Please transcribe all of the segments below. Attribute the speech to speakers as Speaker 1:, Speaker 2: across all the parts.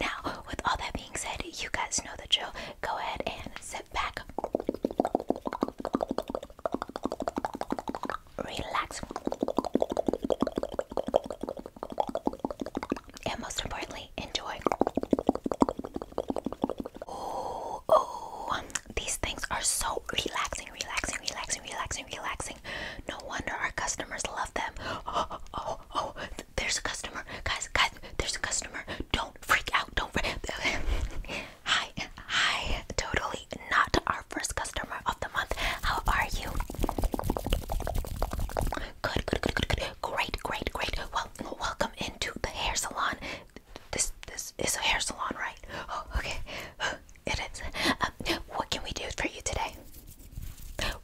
Speaker 1: Now, with all that being said, you guys know the drill. Go ahead and sit back, relax, and most importantly, enjoy. Oh, oh, these things are so relaxing, relaxing, relaxing, relaxing, relaxing. No wonder our customers love them. Oh, oh, oh, there's a customer. Guys, guys, there's a customer. Don't freak out. Don't freak Hi, hi. Totally not our first customer of the month. How are you? Good, good, good, good, good. Great, great, great. Well, welcome into the hair salon. This, this is a hair salon, right? Oh, okay. It is. Um, what can we do for you today?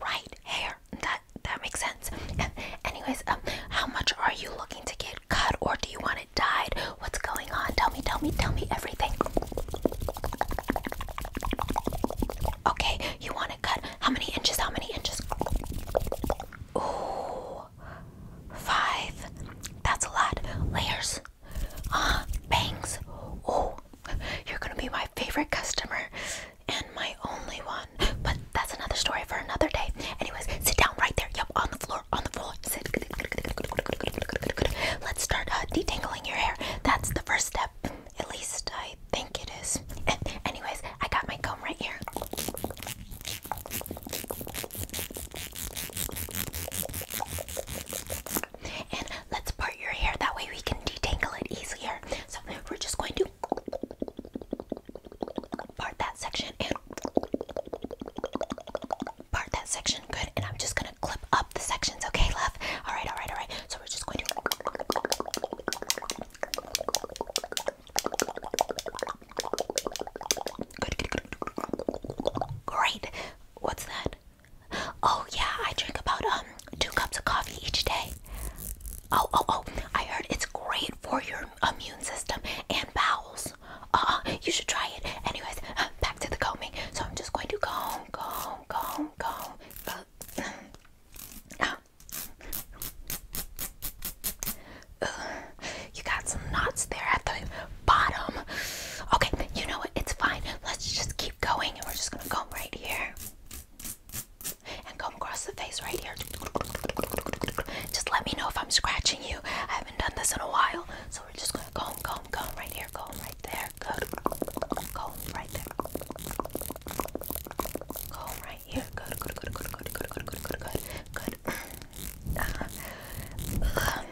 Speaker 1: Right hair. That that makes sense. Anyways, um, how much are you looking to get cut, or do you want it dyed? What's going on? Tell me, tell me, tell me everything. Okay, you want it cut? How many inches? How many inches? Ooh, That's a lot. Layers. Uh, bangs. Ooh, you're gonna be my favorite customer and my only one. But that's another story for another day. Anyways, sit down right there. Yep, on the floor, on the floor. Sit. Let's start uh, detangling your hair. That's the first step. At least I think it is. Anyways, I got my comb right here let's part your hair. That way we can detangle it easier. So we're just going to part that section and part that section. Good. And I'm just going to clip up the sections. Okay, love? All right, all right, all right. So we're just going to. Good, good, good. Great. What's that? Oh yeah, I drink about um two cups of coffee each day. Oh oh oh! I heard it's great for your immune system and bowels. Uh, you should try it. Anyways, back to the combing. So I'm just going to comb, comb, comb, comb. Uh, uh, you got some knots there at the bottom. Okay, you know what? It's fine. Let's just keep going and we're just gonna comb right here. And comb across the face right here. Just let me know if I'm scratching you. I haven't done this in a while. So we're just gonna comb, comb, comb right here, comb right there. Good. Comb right there. Comb right here. Good, good, good, good, good, good, good, good, good, good, good. Uh, um,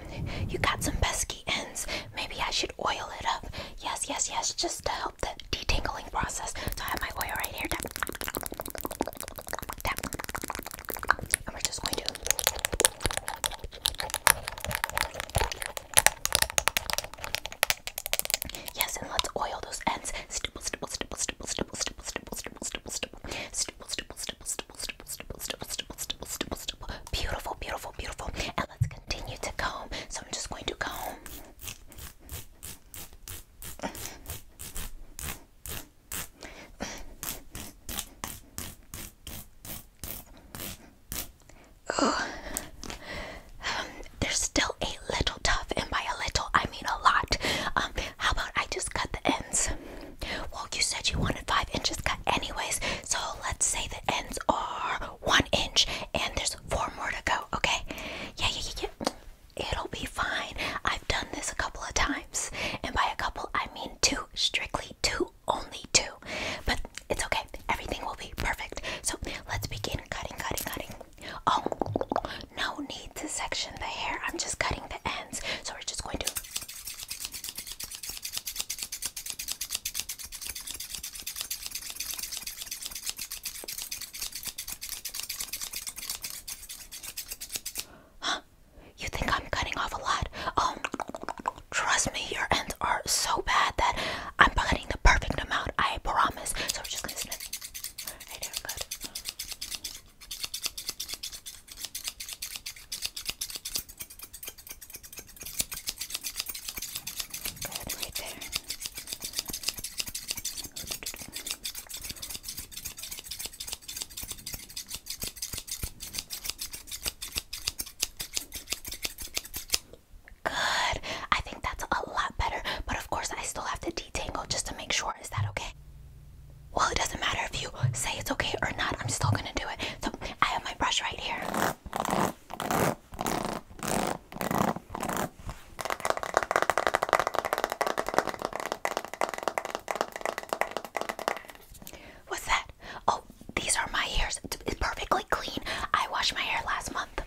Speaker 1: you got some pesky ends. Maybe I should oil it up. Yes, yes, yes, just to help the detangling process. So I have my oil right here. Tap. And we're just going to. Yes, and let's oil those ends. beautiful, beautiful, beautiful. And let's continue to comb. So I'm just going to comb. Oh. Um, there's still a little tough, and by a little I mean a lot. Um, how about I just cut the ends? Well, you said you wanted five inches cut anyways, so let's say that ends are one inch and there's four more to go okay yeah yeah yeah, yeah. it'll be fine i've done this a couple of times and by a couple i mean two strictly two only two but it's okay everything will be perfect so let's begin cutting cutting cutting oh no need to section the hair i'm just cutting the ends so we're just going to Huh? You think I'm cutting off a lot? Um, trust me, your ends are so bad that I'm cutting the perfect amount. I promise. So we're just gonna snip. Right there, good. Good, right there. Good. I think that's a lot better, but of course I still have to detangle just to make sure. Is that okay? Well, it doesn't matter if you say it's okay or not, I'm still gonna do it. So I have my brush right here. What's that? Oh, these are my hairs. It's perfectly clean. I washed my hair last month.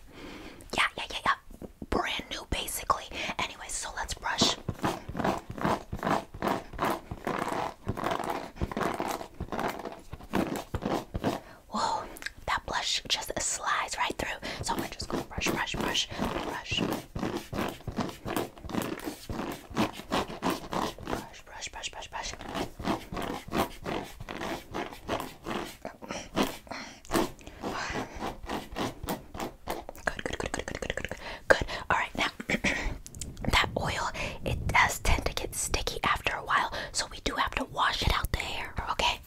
Speaker 1: Yeah, yeah, yeah, yeah. Brand new, basically. Anyway, so let's brush. Whoa, that blush just slides right through. So I'm just gonna brush, brush, brush, brush. Brush, brush, brush, brush, brush. Good, good, good, good, good, good, good, good. Good. All right, now that oil it does tend to get sticky after a while, so we do have to wash it out the hair. Okay.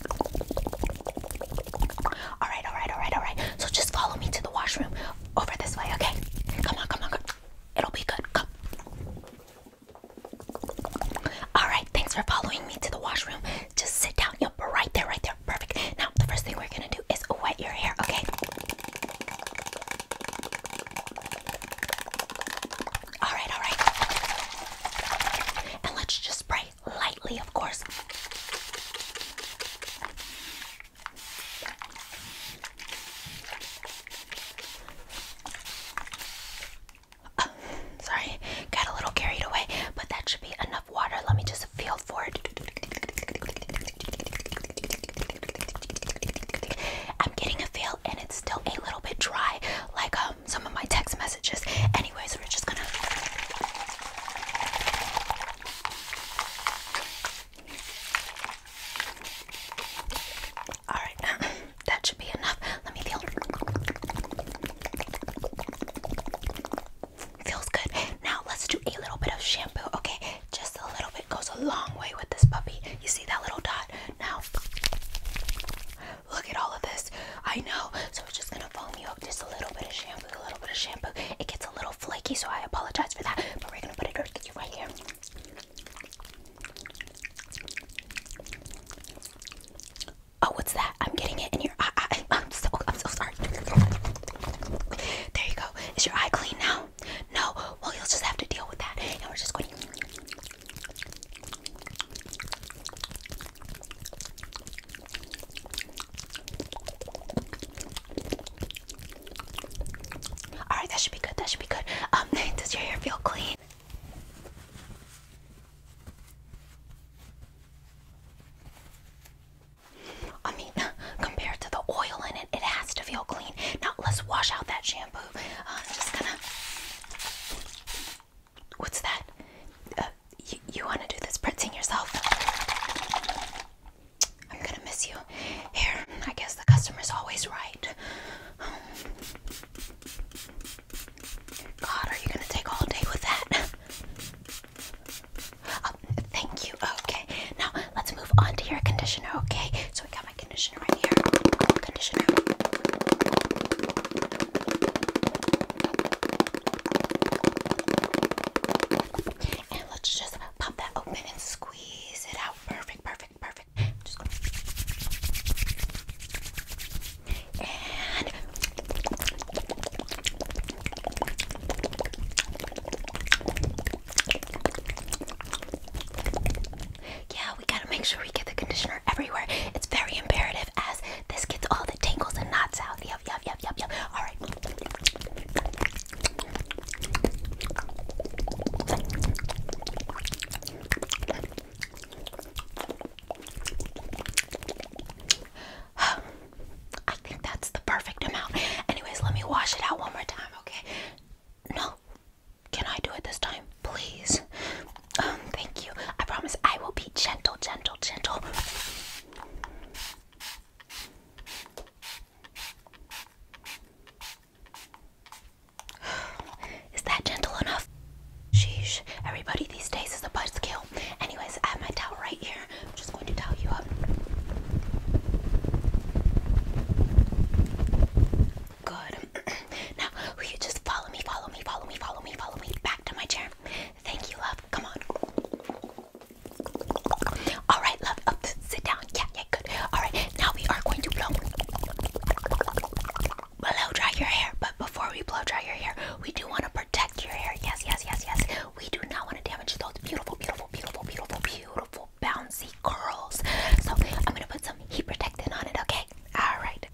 Speaker 1: All right, all right, all right, all right. So just follow me to the washroom over this way. Okay. Come on, come on, It'll be good. Come. All right. Thanks for following me to the washroom. Just sit down. Yep. Right there. Right there. Perfect. Now the first thing we're gonna do is wet your hair. Okay. All right, all right. And let's just spray lightly, of course. sorry, got a little carried away, but that should be enough water. Let me just feel for it. I'm getting a feel and it's still a little bit dry, like um some of my text messages. Anyways, we're just gonna Alright, that should be enough. Let me feel. Feels good. Now let's do a little bit of shampoo. Okay, just a little bit goes a long way with this puppy. You see that little dot? Now, look at all of this. I know. So it's just going to foam you up. Just a little bit of shampoo, a little bit of shampoo. It gets a little flaky, so I apologize for that. But we're going to put it right here. Oh, what's that? I'm getting it in your eye. I, I'm so, I'm so sorry. There you go. Is your eye clean now? No, well, you'll just have to deal with that. And we're just going. All right, that should be good. That should be good. Um, does your hair feel clean? I mean, compared to the oil in it, it has to feel clean. Now let's wash out that shampoo. Uh, just gonna. What's that? Uh, you you want to do this rinsing yourself? I'm gonna miss you. Here, I guess the customer's always right. Um, God, are you gonna take all day with that? Oh, thank you. Oh, okay. Now let's move on to your conditioner. Okay. So I got my conditioner right here. Conditioner. let's just pop that open and squeeze it out. Perfect, perfect, perfect. Yeah, we gotta make sure we get the conditioner everywhere. It's very imperative as this gets all the tangles and knots out. Yup, yup, yup, yup, yup. Alright. I think that's the perfect amount. Anyways, let me wash it out one more time, okay? No. Can I do it this time? Please. Um, thank you. I promise I will be gentle, gentle, gentle. Is that gentle enough? Sheesh. Everybody these days is a buzzkill. Anyways, I have my towel right here. I'm just going to towel you up. Good. now, you just follow me, follow me, follow me, follow me, follow me back to my chair? Thank you, love. Come on. All right, love. sit down. Yeah, yeah, good. All right, now we are going to blow. Blow dry your hair, but before we blow dry your hair, we do want to protect your hair. Yes, yes, yes, yes. We do not want to damage those beautiful, beautiful, beautiful, beautiful, beautiful bouncy curls. So I'm gonna put some heat protectant on it. Okay. All right.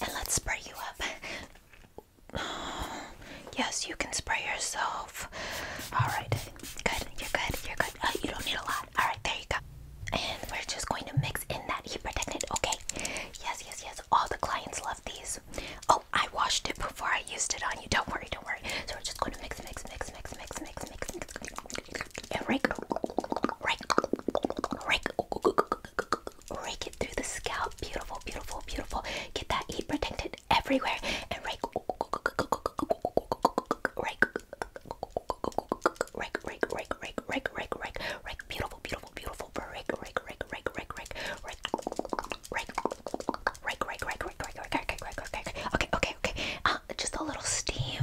Speaker 1: And let's spray you up. Yes, you can spray yourself. All right. Good. You're good. You're good. Uh, you don't need a lot. All right, there you go. And we're just going to mix in that heat protectant. Okay. Yes, yes, yes. All the clients love these. Oh, I washed it before I used it on you. Don't worry, don't worry. So we're just going to mix, mix, mix, mix, mix, mix, mix, mix, and rake, rake, rake, rake it through the scalp. Beautiful, beautiful, beautiful. Get that heat protectant everywhere and rake, rake, rake, rake, rake, rake, rake, rake, rake, beautiful, beautiful, beautiful, rake, rake, rake, rake, rake, rake, rake, rake, rake, rake, rake, rake, rake, rake, rake, okay, okay, okay, uh, just a little steam,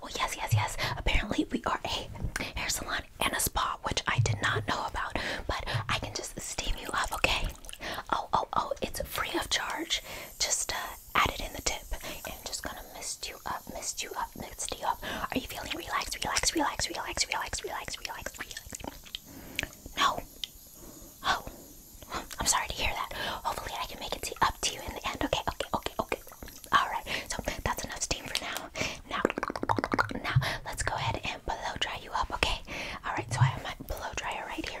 Speaker 1: well, yes, yes, yes, apparently we are a hair salon and a spa, which I did not know about, but I can just steam you up, okay, oh, oh, oh, it's free of charge, just, uh, added in the tip. And I'm just gonna mist you up, mist you up, mist you up. Are you feeling relaxed? Relaxed? Relaxed? Relaxed? Relaxed? Relaxed? Relaxed? No. Oh. I'm sorry to hear that. Hopefully I can make it up to you in the end. Okay, okay, okay, okay. Alright, so that's enough steam for now. Now now let's go ahead and blow dry you up, okay? Alright, so I have my blow dryer right here.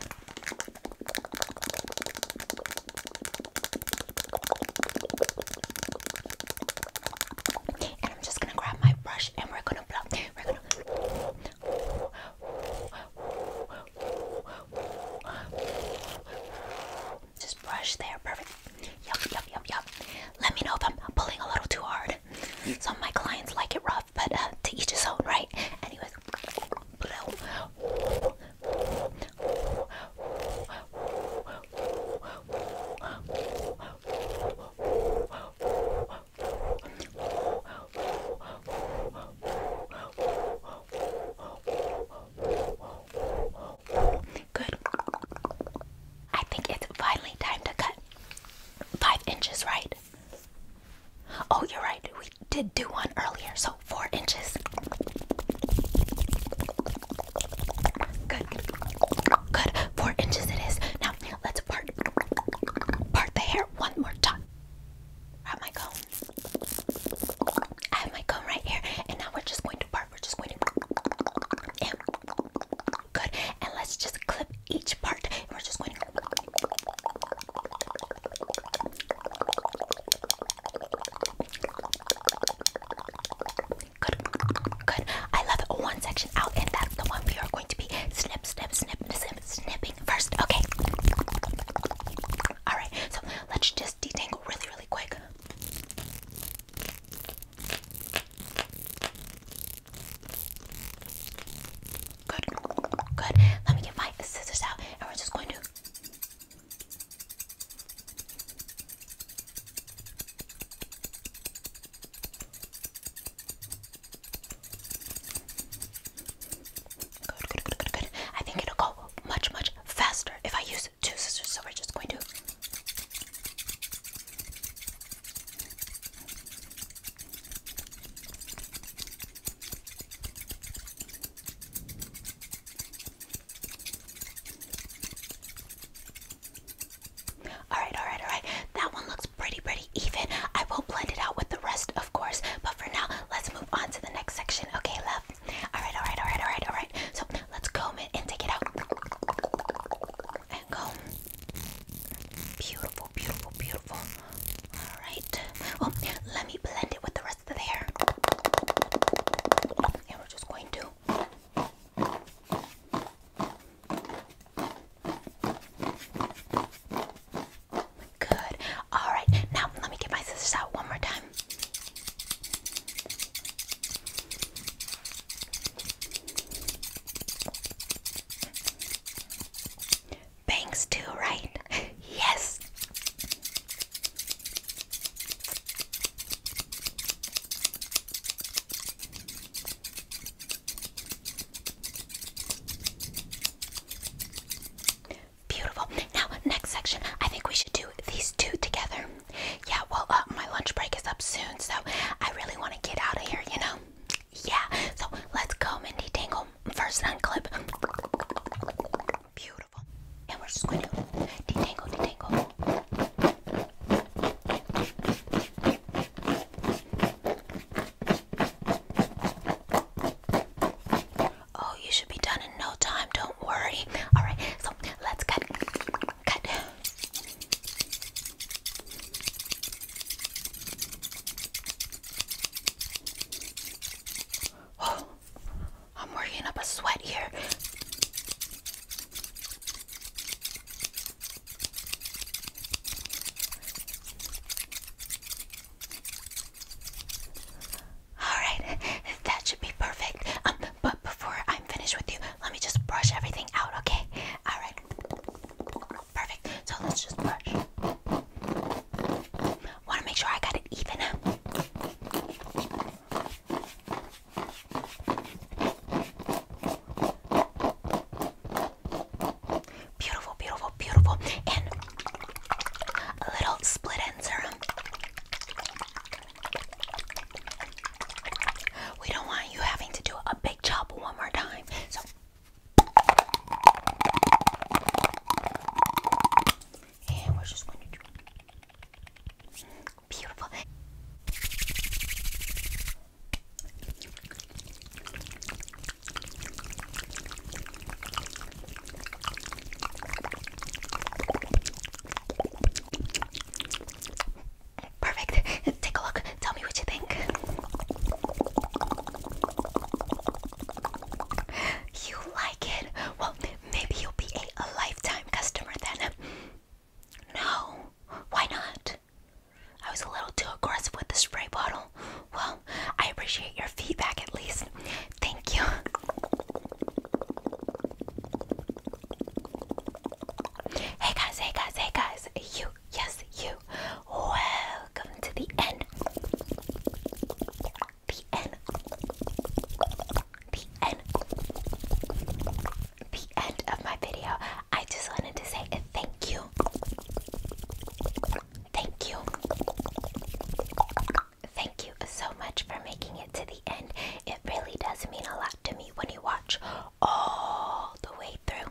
Speaker 1: And I'm just gonna grab my brush and we're gonna blow. We're gonna. Just brush there, perfect. Yup, yup, yup, yup. Let me know if I'm pulling a little too hard. Some of my clients like it rough, but uh, to each his own, right? Anyways, blow. Good. I think it's finally time to cut five inches, right? Oh, you're right. We did do one earlier, so four inches. Good. Good. Four inches it is. Now let's part part the hair one more time. have my comb. I have my comb right here. And now we're just going to part. We're just going to good. And let's just clip each part. we're just going to Good, good. I love it. One section out, and that's the one we are going to be snip, snip, snip, snip, snipping first. Okay. All right. So let's just detangle really, really quick. Good, good. Let me get my scissors out, and we're just going to. Good, good, good, good, good. I think it'll go much, much faster if I use two scissors. So we're just going to. Alright, alright, alright. That one looks pretty, pretty even. I will blend it out with the rest, of course. But for now, let's move on to the next section. Okay, love? Alright, alright, alright, alright, alright. So let's comb it and take it out. And comb. Beautiful, beautiful, beautiful. Alright. Well, oh, let me blend it with the rest And we're just going to Good. All right. Now let me get my scissors out one more time bangs too, right? yes. Beautiful. Now, next section, I think we should do these two together. Yeah, well, uh, my lunch break is up soon, so I really want to get out of here, you know? Yeah, so let's go, Mindy Dingle. First unclip. Beautiful. And we're just going to detangle, detangle. Oh, you should be done in no time. Don't worry. All right, so let's cut. Cut. Oh, I'm working up a sweat here. Alright, that should be perfect. Um, but before I'm finished with you, let me just brush everything out, okay? Alright. Perfect. So let's just brush want to make sure I got it even. Beautiful, beautiful, beautiful. And a little split end serum. We don't want you having to do a big chop one more time. So and we're just going to do beautiful. Perfect. Take a look. Tell me what you think. You like it? Well, maybe you'll be a, lifetime customer then. No, why not? I was a little too aggressive with the spray bottle. Well, I appreciate your feedback at least. Thank you. Hey guys, hey guys, hey guys. You yes, you. Welcome to the end. The end. The end. The end of my video. I just wanted to say thank you. Thank you. Thank you so much for making it to the end. It really does mean a lot to me when you watch all the way through.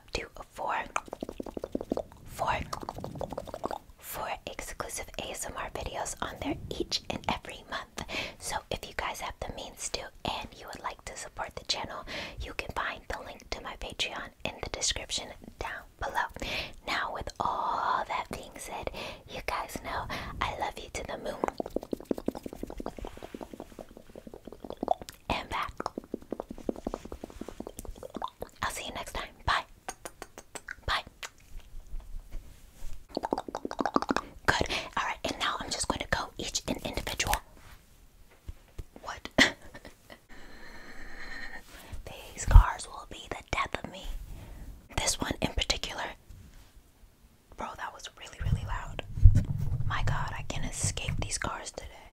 Speaker 1: up to four, four, four exclusive ASMR videos on there each and every month. So if you guys have the means to and you would like to support the channel, you can find the link to my Patreon in the description down below. Now with all that being said, you guys know I love you to the moon and back. I'll see you next time. Bye. Bye. Good. All right, and now I'm just going to go each in individual. What? These cars will be the death of me. This one in particular. Bro, that was really, really loud. My god, I can't escape these cars today.